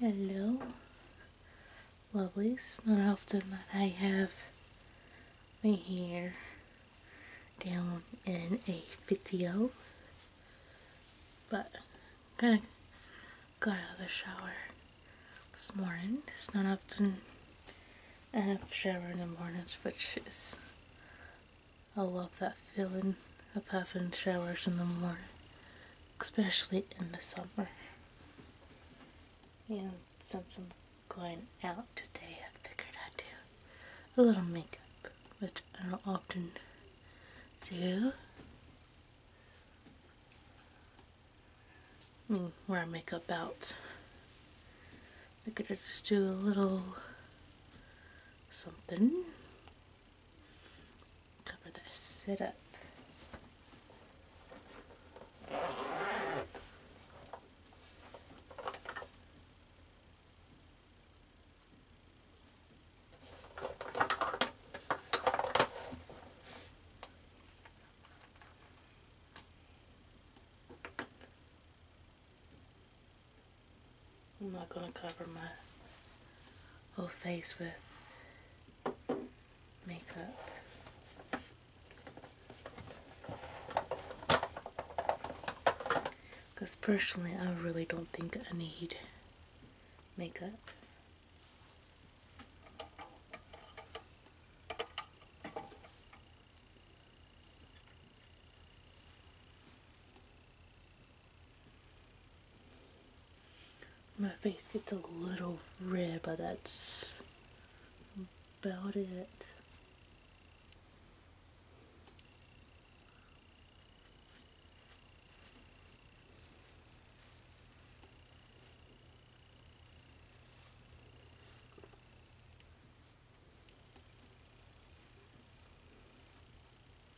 Hello, lovelies. It's Not often that I have my hair down in a video, but kind of got out of the shower this morning. It's not often I have a shower in the morning, which is I love that feeling of having showers in the morning especially in the summer. And since I'm going out today, I figured I'd do a little makeup, which I don't often do. I mean, wear makeup out. I could just do a little something cover this sit up. I'm not going to cover my whole face with makeup. Because personally, I really don't think I need makeup. My face gets a little red, but that's about it.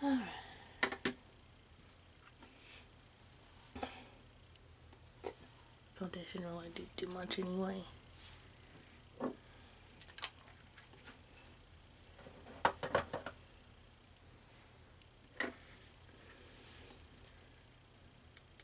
All right. Foundation really do too much anyway.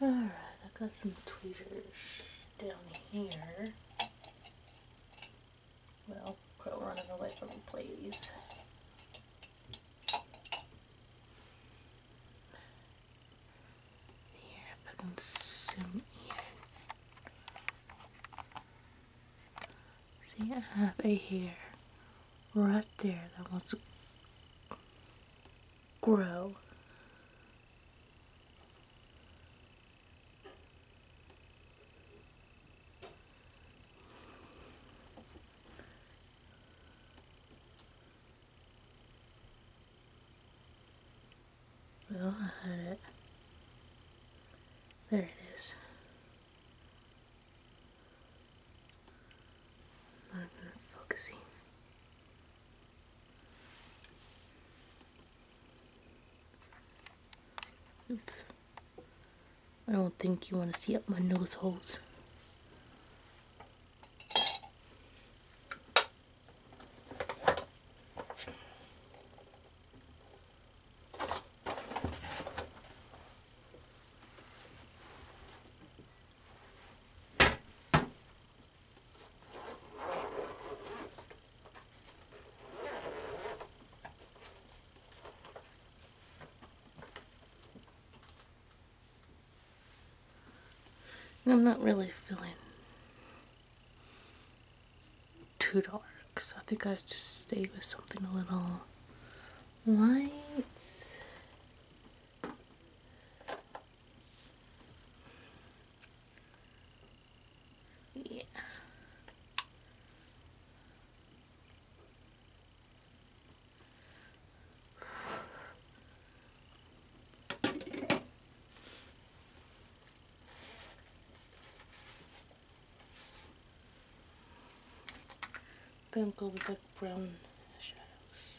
Alright, I got some tweezers down here. Well, quit running away from me, please. Here, if I can See, I have a hair right there that wants grow. We all had it. There it is. Not even focusing. Oops. I don't think you want to see up my nose holes. I'm not really feeling too dark, so I think I just stay with something a little light. Yeah. Then go with that brown shadows.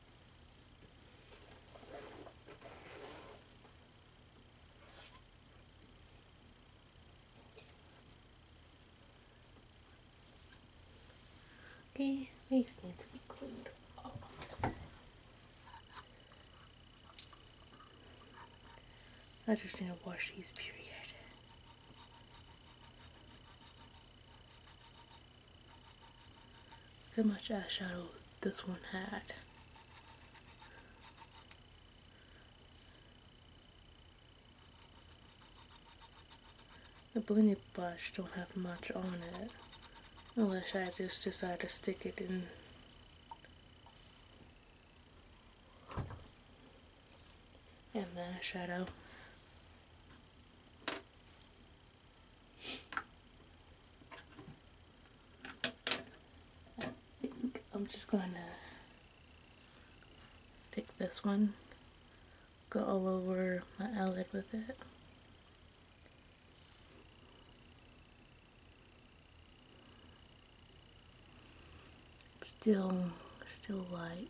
Okay, legs need to be cleaned I just need to wash these, period. Look how much eyeshadow this one had. The blended brush don't have much on it. Unless I just decide to stick it in and the eyeshadow. I am just going to take this one. Let's go all over my eyelid with it. Still, still light.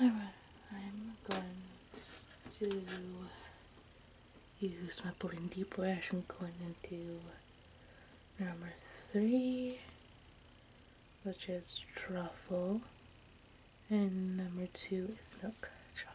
Alright, I'm going to use my pulling deep I'm going into number three, which is truffle, and number two is milk chocolate.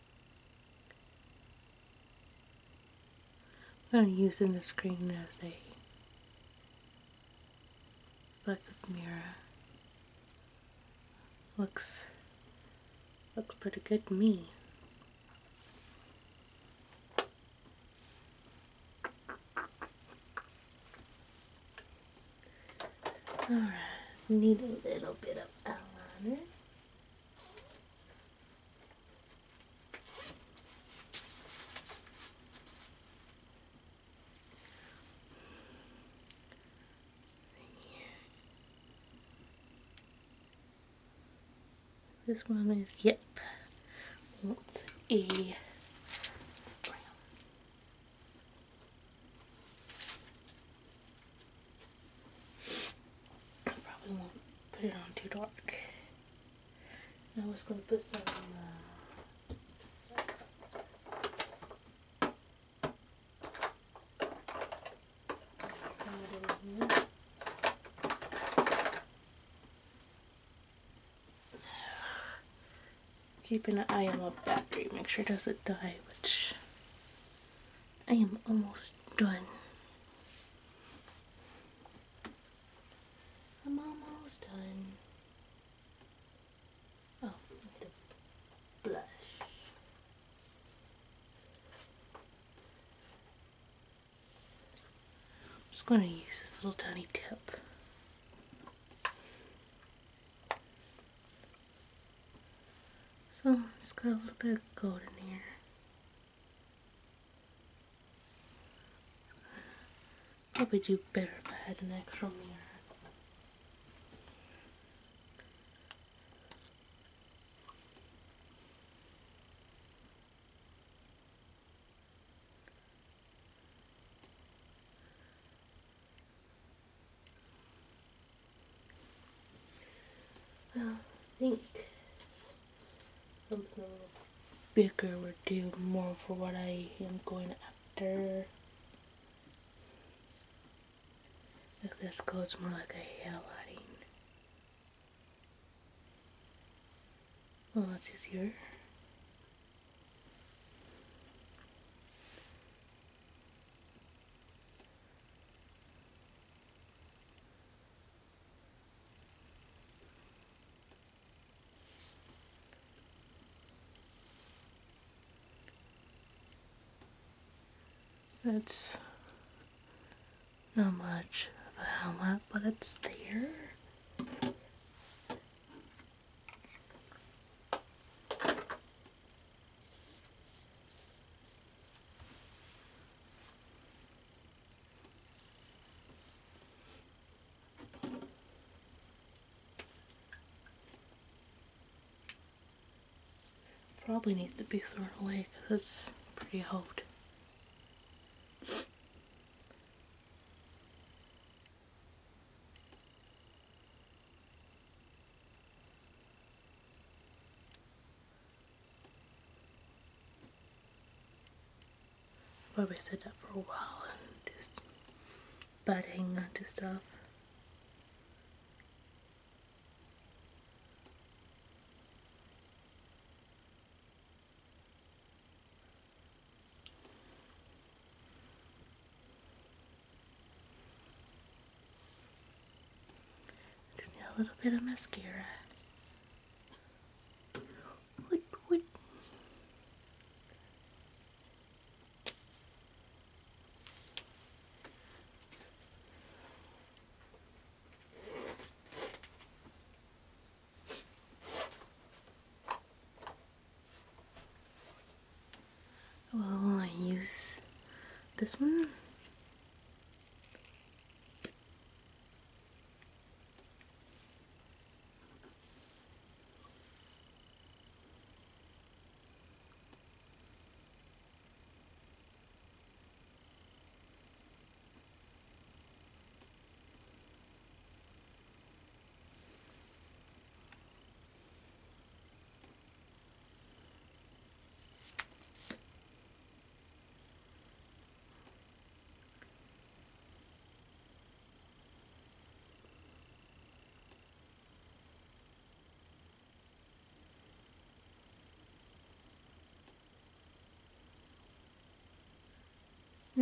I'm using the screen as a reflective mirror. Looks looks pretty good to me. Alright, need a little bit of eyeliner. This one is, yep, what's a I probably won't put it on too dark. I was going to put some uh, Keeping an eye on my battery, make sure it doesn't die, which I am almost done. I'm almost done. Oh, blush. I'm just going to use this little tiny tip. So it's got a little bit of gold in here. Probably do better if I had an extra mirror. I think something a little bigger would do more for what I am going after. this goes more like a highlighting. Well, that's easier. That's not much of a helmet, but it's there. Probably needs to be thrown away because it's pretty old. Probably sit up for a while and just butting onto stuff. Just need a little bit of mascara. Wood, wood. I use this one.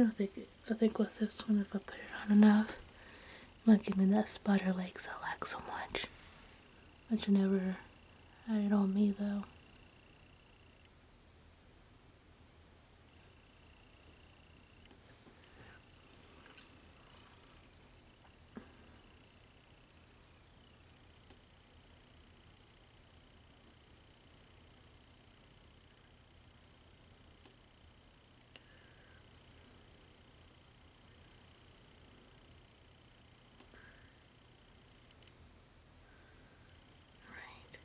I think I think with this one, if I put it on enough, it might give me that spider legs I lack so much but she never had it on me though. Right.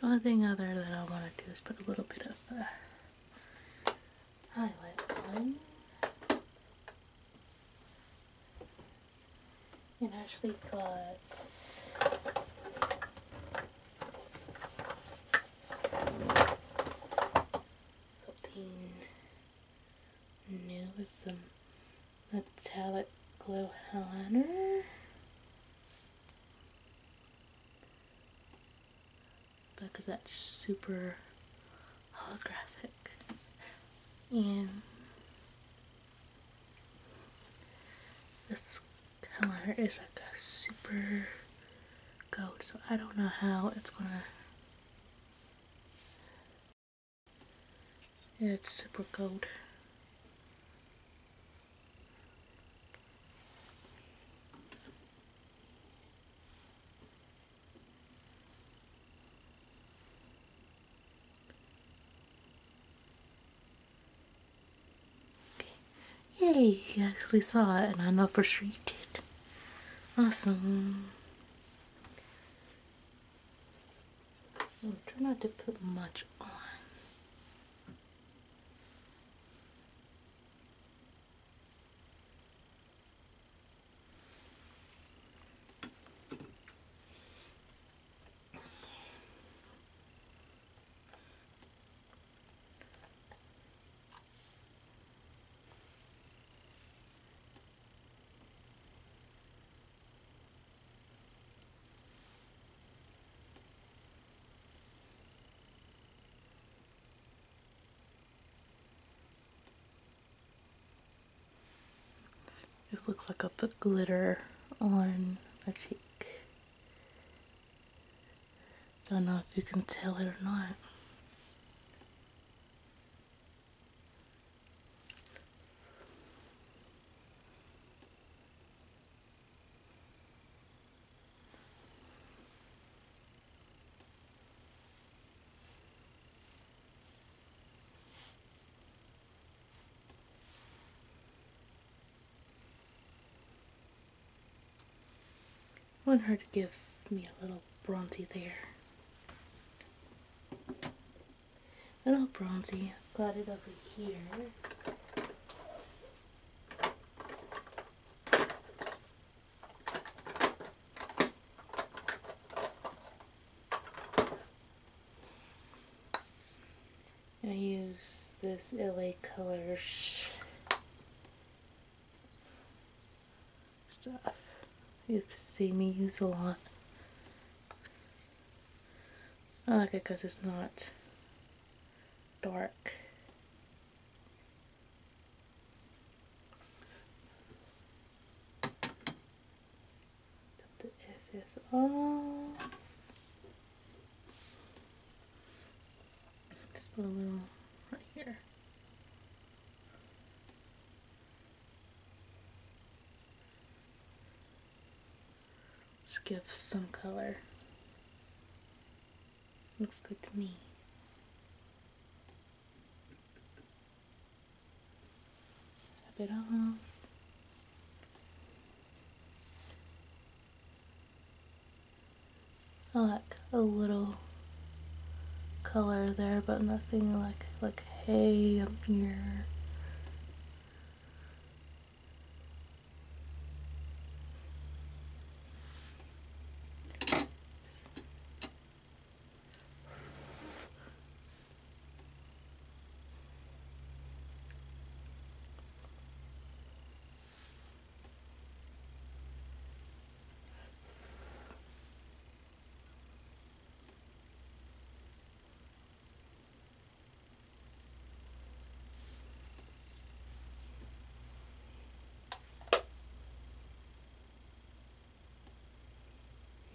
The only thing other that I want to do is put a little bit of uh, highlight on and actually got Something new with some metallic glow eyeliner. Because that's super holographic. And this color is like a super gold, so I don't know how it's gonna. it's super gold. Okay. Yay, you actually saw it, and I know for sure you did. Awesome. I'll try not to put much on. This looks like I put glitter on my cheek. Don't know if you can tell it or not. I want her to give me a little Bronzy there. Little Bronzy, got it over here. I use this LA Colors stuff. you see me use a lot. I like it because it's not dark. Top the SS off. Just put a little right here. Just give some color. Looks good to me. Tap it off. I like a little color there, but nothing like like hay up here.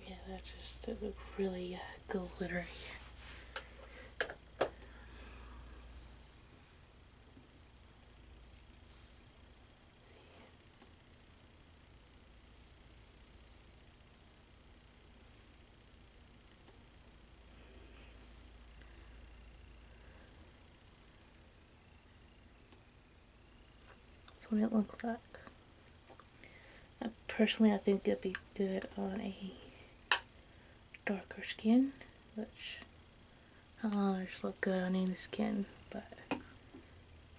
Yeah, that just that looked really uh, glittery. That's what it looks like. personally, I think it'd be good on a darker skin, which eyeliners look good on any skin, but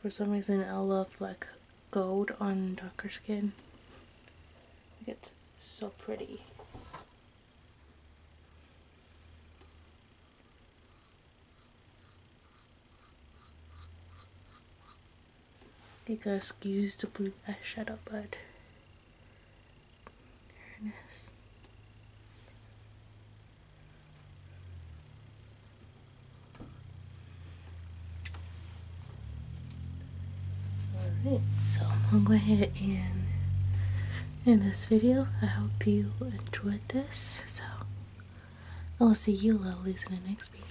for some reason I love like gold on darker skin. It's so pretty. I think I excuse the blue eyeshadow, but there it is. Alright, so I'll go ahead and in this video. I hope you enjoyed this. So I will see you lovelies in the next video.